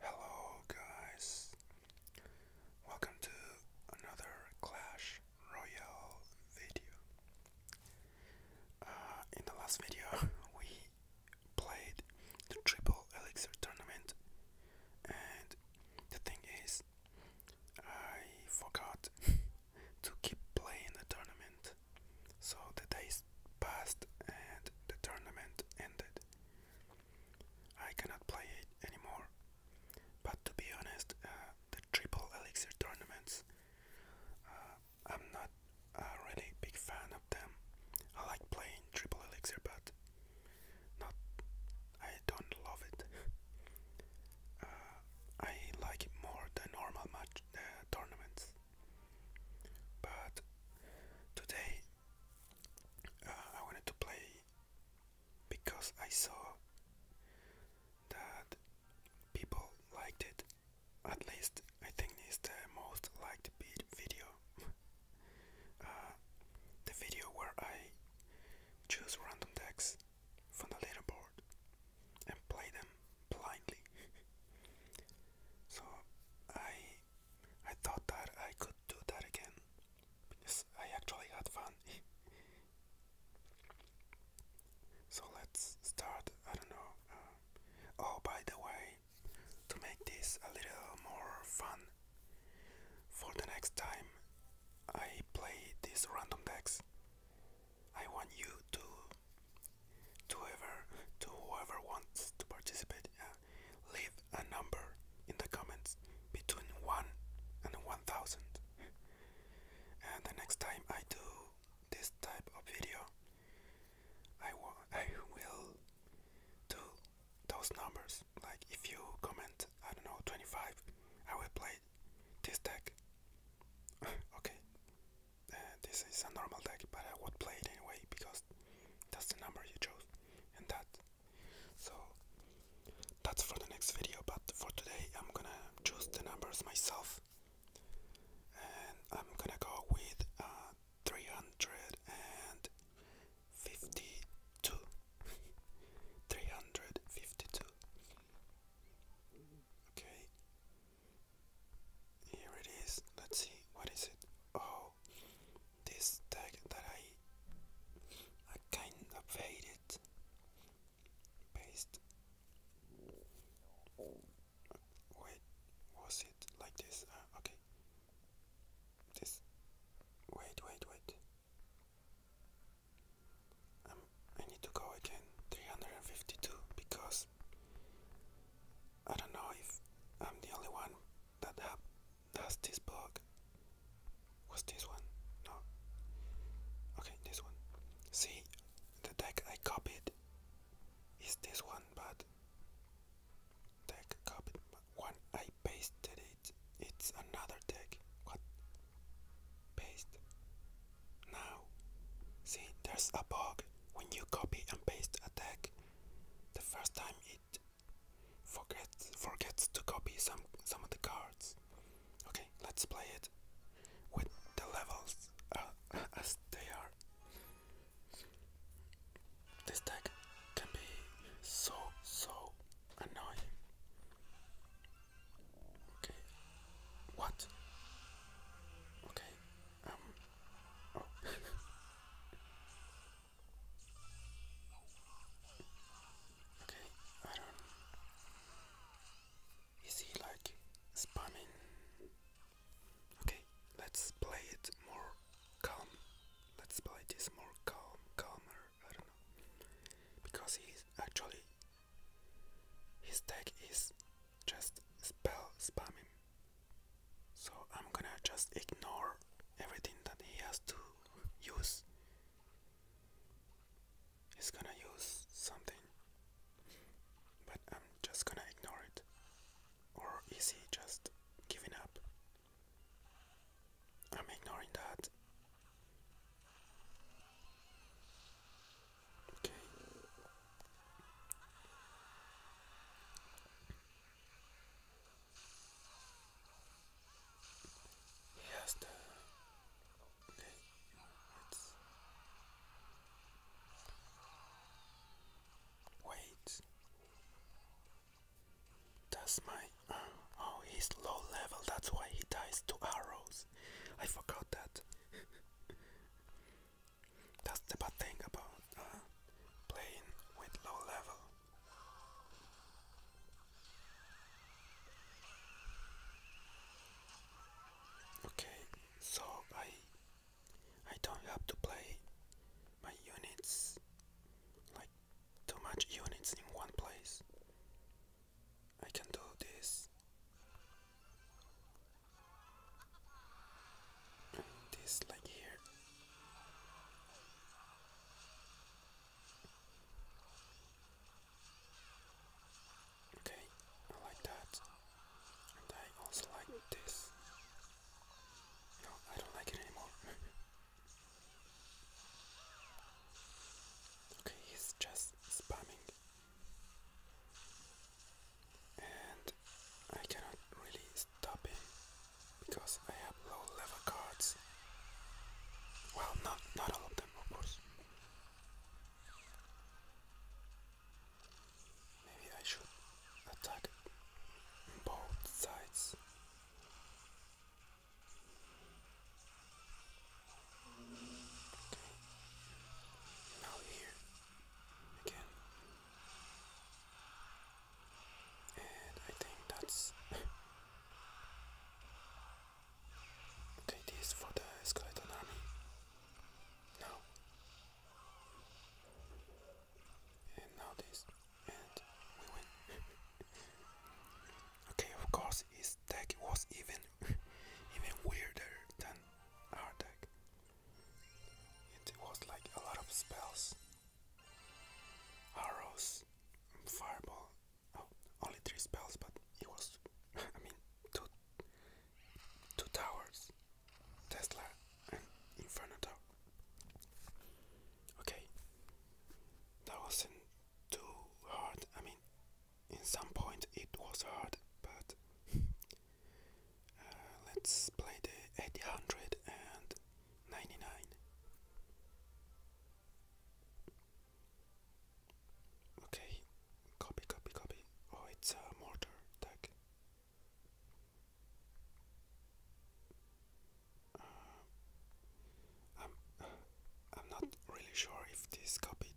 Hello, guys. Welcome to another Clash Royale video. Uh, in the last video, we played the Triple Elixir tournament, and the thing is, I forgot to keep playing the tournament. So the days passed and the tournament ended. I cannot play it anymore. But to be honest, uh, the triple elixir tournaments, uh, I'm not a really big fan of them. I like playing triple elixir, but not. I don't love it. Uh, I like more the normal match tournaments. But today uh, I wanted to play because I saw that people liked it. At least I think it's the most liked video. Uh, the video where I choose random decks from the leaderboard and play them blindly. so I I thought that I could do that again because I actually had fun. so let's start. I don't know. Uh, oh, by the way, to make this a little more fun, for the next time I play these random decks, I want you to to whoever to whoever wants to participate uh, leave a number in the comments between 1 and 1000 and the next time I do this type of video I, I will do those numbers like if you comment I don't know 25 I will play this deck okay this is a normal deck, but I would play it anyway because that's the number you chose, and that. So that's for the next video. But for today, I'm gonna choose the numbers myself, and I'm gonna go with uh, 352. 352. Okay, here it is. Let's see. What is it? Oh, this tag that I I kind of faded. Paste. Wait, was it like this? Ah, okay. This. Wait, wait, wait. Um, I need to go again. 352 because I don't know if I'm the only one that has this blog. What's this one? No. Okay, this one. See, the deck I copied is this one, but deck copied. But I pasted it, it's another deck. Paste. Now, see, there's a bug when you copy and paste a deck. The first time it forgets forgets to copy some some of the cards. Okay, let's play it with the levels uh, as they are. This deck can be so so annoying. Okay, what? Okay, um, Oh. okay, I don't. Is he like spamming? Okay, let's play it more calm. Let's play this more calm, calmer. I don't know because he's actually his tech is just spell spamming. So I'm gonna just ignore everything that he has to use. He's gonna use something, but I'm just gonna ignore it. Or is he just giving up? I'm ignoring that. Okay. He the okay, let's wait. That's my oh he's low level, that's why he dies to arrows. I forgot that. That's the bad thing about uh, playing with low level. Okay, so I I don't have to play my units like too much units in one place. I can do this this like here. Okay, I like that. And I also like this. No, I don't like it anymore. okay, he's just spamming and I cannot really stop him because I have low level cards. Well, not not all of them, of course. Maybe I should attack both sides. Now here again. And I think that's okay. This for the skeleton army. No. And now this, and we win. okay, of course, his deck was even even weirder than our deck. It was like a lot of spells. Arrows, fireball. Oh, only three spells, but it was, I mean, two, two towers, Tesla and Inferno Tower. Okay, that wasn't too hard. I mean, in some point it was hard, but Uh, let's play the 899. Okay, copy, copy, copy. Oh, it's a mortar attack. Uh, I'm, I'm not really sure if this copied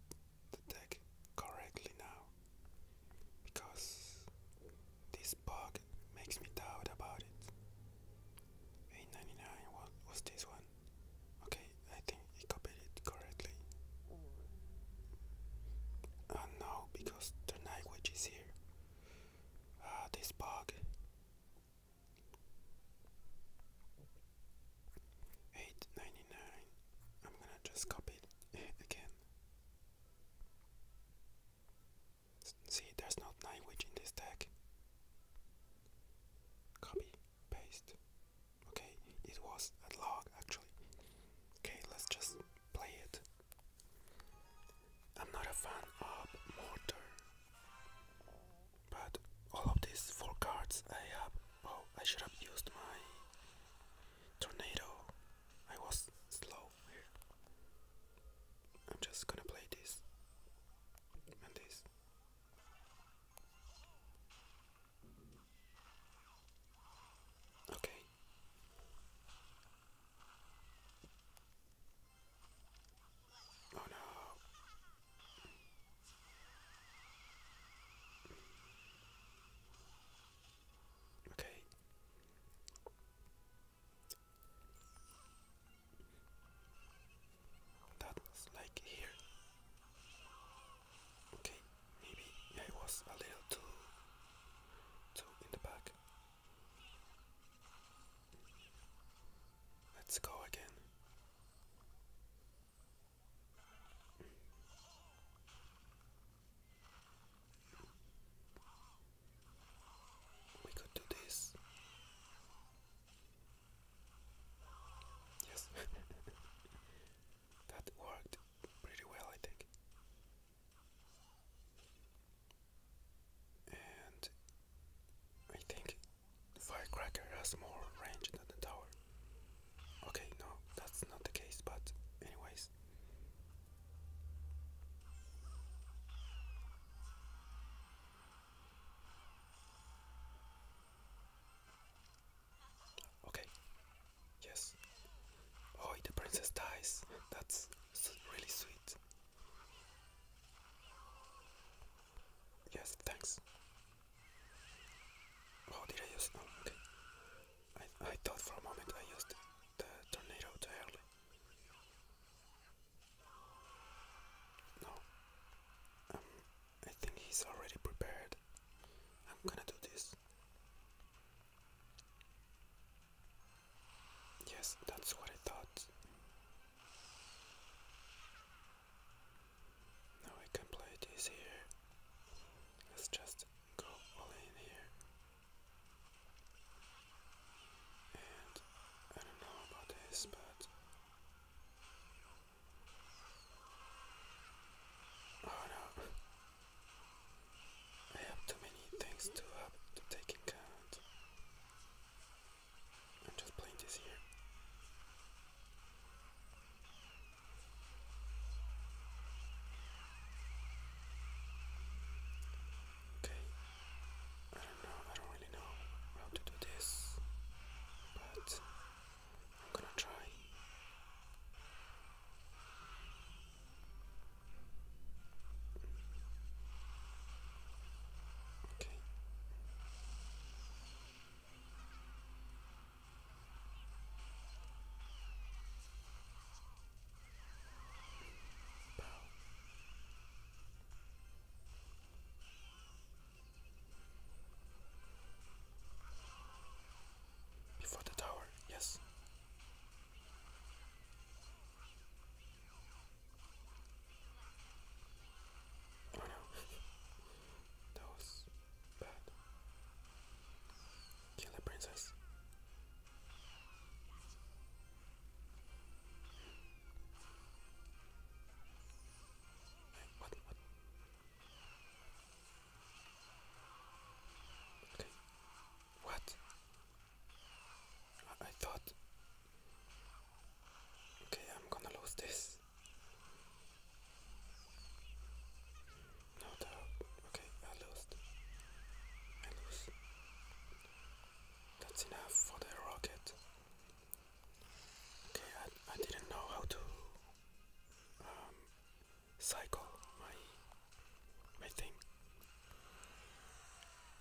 the deck correctly now because this bug makes me doubt about it. 899 what was this one? Okay, I think he copied it correctly. Oh no, because the language is here. Ah, this bug. 899. I'm gonna just copy it again. See, there's not language in this deck. Copy, paste. Okay, it was a log actually. Okay, let's just play it. I'm not a fan of Mortar, but all of these four cards I have. Oh, I should have used my Tornado I was slow here. I'm just gonna play this and this. Okay. Oh no. Okay. That's like here. Okay, maybe I was a little too too in the back. Let's go again. We could do this. Yes, that worked pretty well, I think. And I think Firecracker has more range than the tower. Okay, no, that's not the case, but anyways. Okay. Yes. Oh, the princess dies. That's really sweet. Yes, thanks. Oh, did I use? Oh, okay. I, I thought for a moment I used the tornado too early. No. Um, I think he's already prepared. I'm gonna do this. Yes, that's what I thought. Now I can play this here. let just go all in here. And I don't know about this, but oh no, I have too many things to have to take in account. I'm just playing this here. Okay, I don't know, I don't really know how to do this, but I'm gonna try. Okay. Before the tower, yes. Oh no, that was bad. Kill the princess. What, what? Okay. What? I thought. Okay, I'm gonna lose this. No Okay, I lost. I lose. That's enough for the rocket. Okay, I, I didn't know how to um, cycle my my thing,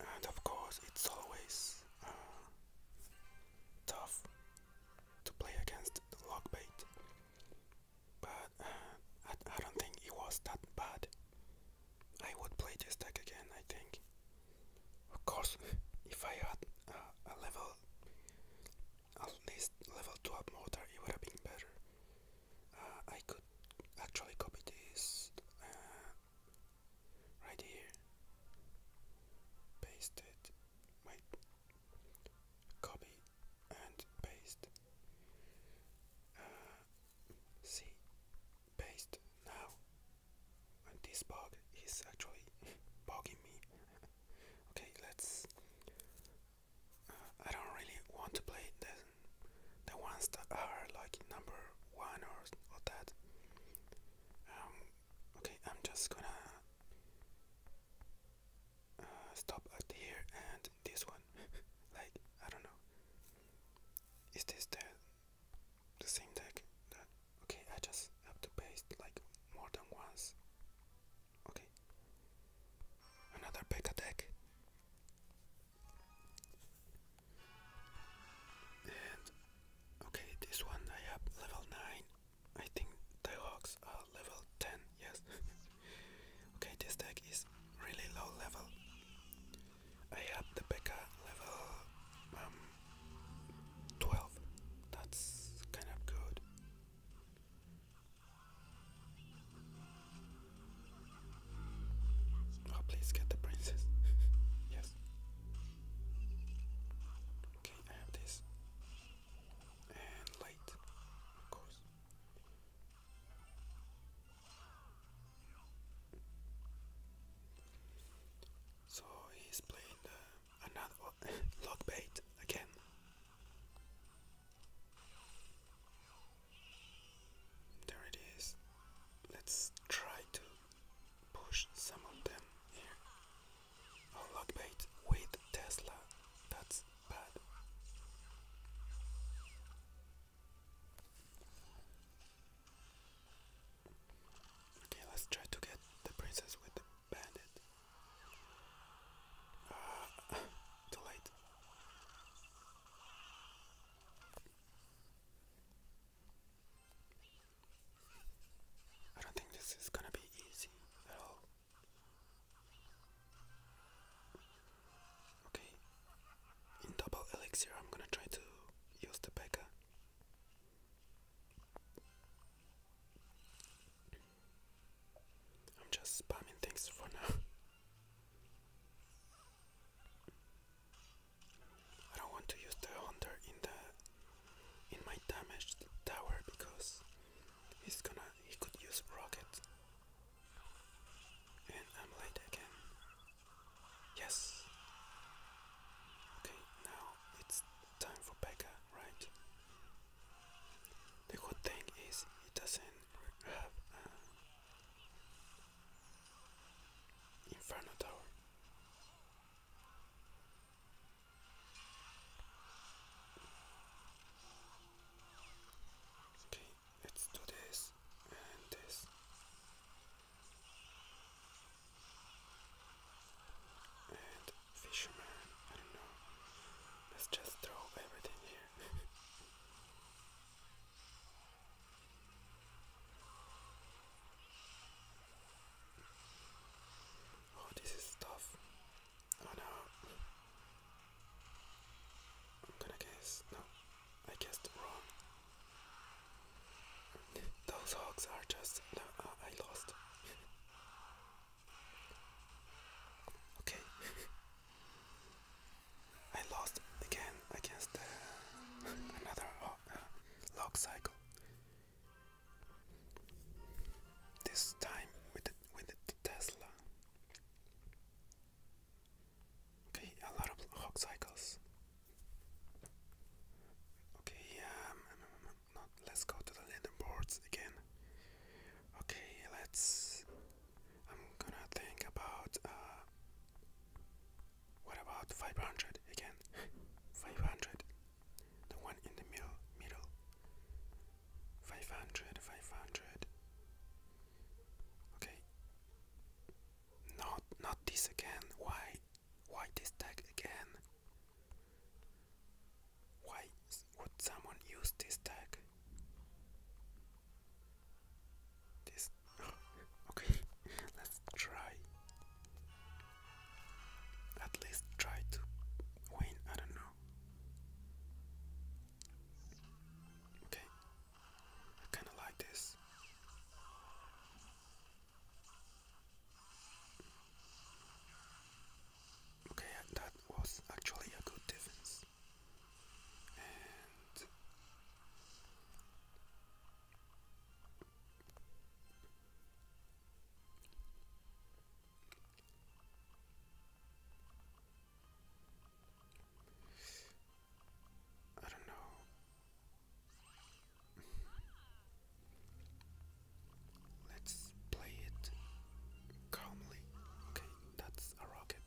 and of course it's always uh, tough to play against the log bait but I, don't think it was that bad. I would play this deck again, I think. Of course, if I had a level, at least level 2 up motor, it would have been better. Uh, I could actually copy this uh, right here, paste it, wait, copy and paste. Uh, see, paste now. And this bug is actually bugging me. okay, let's. Uh, I don't really want to play the the ones that are like number one or or that. Um, okay, I'm just gonna uh, stop at here and this one. like I don't know. Is this the the same deck? okay. I just have to paste like more than once. Okay. Another Pekka deck. And okay, this one I have level nine. I think the hawks are level 10, yes. okay, this deck is really low level. I have the Becca level um, 12. That's kind of good. Oh, please get the princess. yes. Okay, I have this and light, of course. So he's playing another log bait again. There it is. Let's try to push some of them here. Unlock bait with Tesla. That's bad. Okay, let's try to get the princess with the bandit. Uh, too late. I don't think this is gonna be easy at all. Okay, in double elixir, I'm gonna try to use the Pekka. I'm just spamming things for now. I don't want to use the hunter in the in my damaged tower because He's gonna he could use rocket. And I'm late again. Yes. Okay, now it's time for Becca, right? The good thing is he doesn't have uh, Inferno Tower. Okay, let's do this and this. And fisherman, I don't know. Let's just throw everything here. oh, this is tough. Oh, I'm gonna guess. No, I guessed wrong. Those hogs are just. No, uh, I lost. okay. I lost again against uh, another uh, uh, log cycle. This time with the, with the Tesla. Okay, a lot of hog cycles. Okay, um, not, let's go to the leaderboards again. Okay, let's. I'm gonna think about. Uh, what about 500 again? 500, the one in the middle, middle. 500, 500. Okay. Not, not this again. Why? Why this tag again? Why would someone use this tag? This. okay, let's try. At least try to win. I don't know. Okay, I kind of like this. Okay, that was actually a good defense. I don't know. Let's play it calmly. Okay, that's a rocket.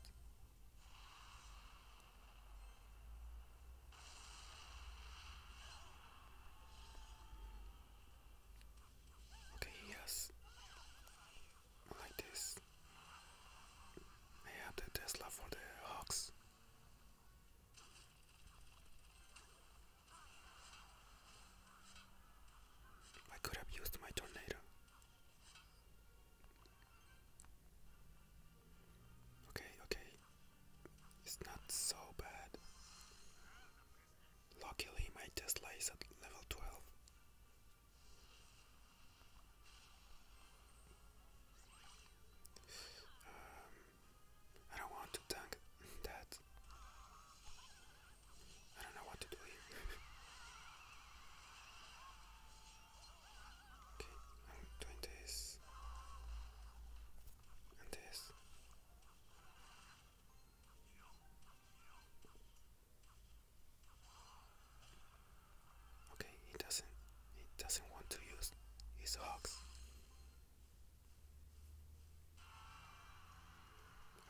Okay, yes. Like this. I have the Tesla for the Hawks. I could have used my tornado. Okay, okay. It's not so bad. Luckily, my Tesla is at level 12. Um, I don't want to tank that. I don't know what to do okay, I'm doing this and this. Okay, he doesn't he doesn't want to use his hawks.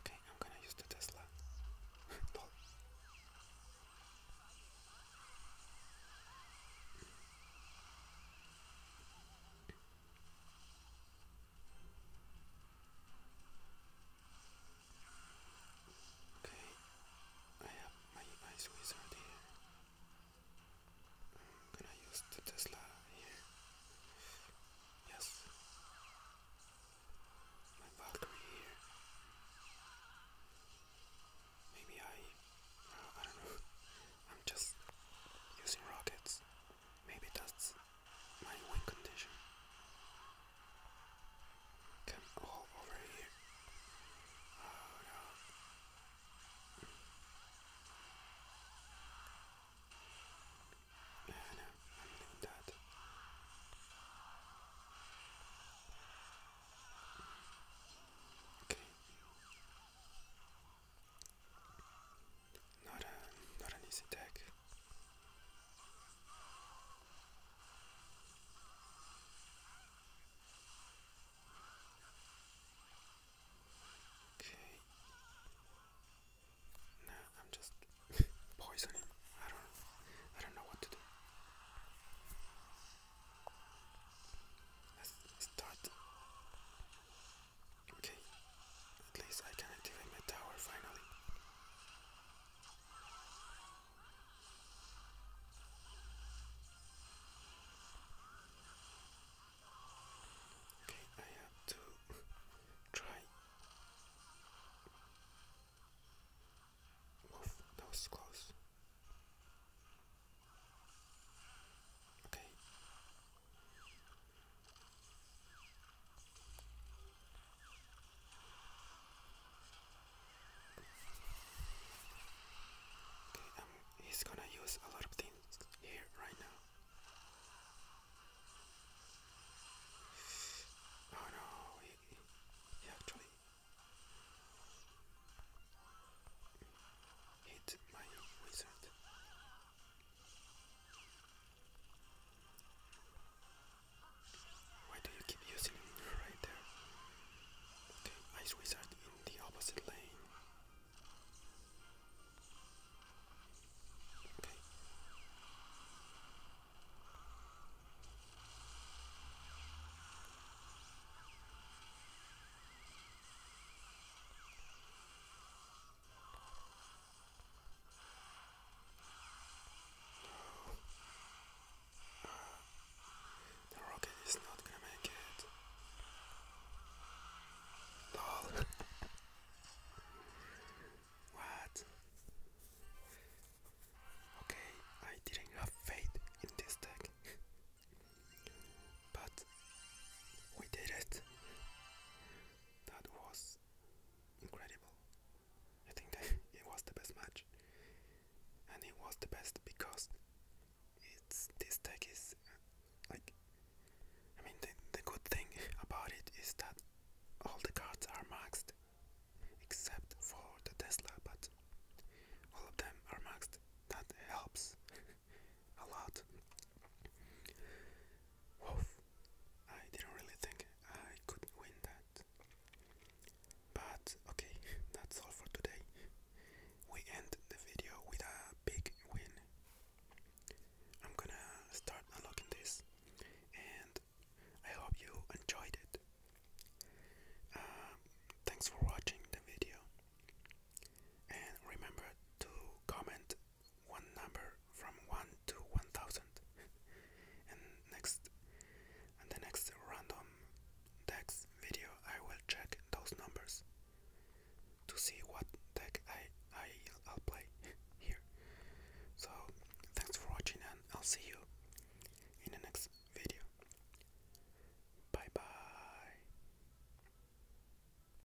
Okay, I'm gonna use the Tesla. Okay, I have my ice wizard I'm gonna use the Tesla here. Yes. My Valkyrie here. Maybe I. Uh, I don't know. I'm just using rockets. Maybe that's my win condition. Come over here. Oh ah, no. Yeah, no, uh, I'm doing that. Okay. Not a not an easy deck. Okay. Now I'm just poisoning. I don't I don't know what to do. Let's start Okay, at least I can activate my tower finally. Okay, I have to try move those close. Okay, Okay, um, he's gonna use a lot of things here right now. Oh no, he, actually hit my wizard. Why do you keep using her right there? Okay, Ice Wizard in the opposite lane. Okay. The rocket is not gonna make it. LOL. what? Okay, I didn't have faith in this deck. but we did it. That was incredible. I think it was the best match, and it was the best because it's this deck is uh, like. I mean, the, the good thing about it is that all the cards are maxed except for the Tesla, but all of them are maxed. That helps a lot. Woof. I didn't really think I could win that. But okay, that's all for today. We end the video with a big win. I'm gonna start unlocking this and I hope you enjoyed it. Um, thanks for watching the video and remember to comment one number from 1 to 1000 and next and the next random text video I will check those numbers to see what deck I, I I'll play here so thanks for watching and I'll see you in the next video bye bye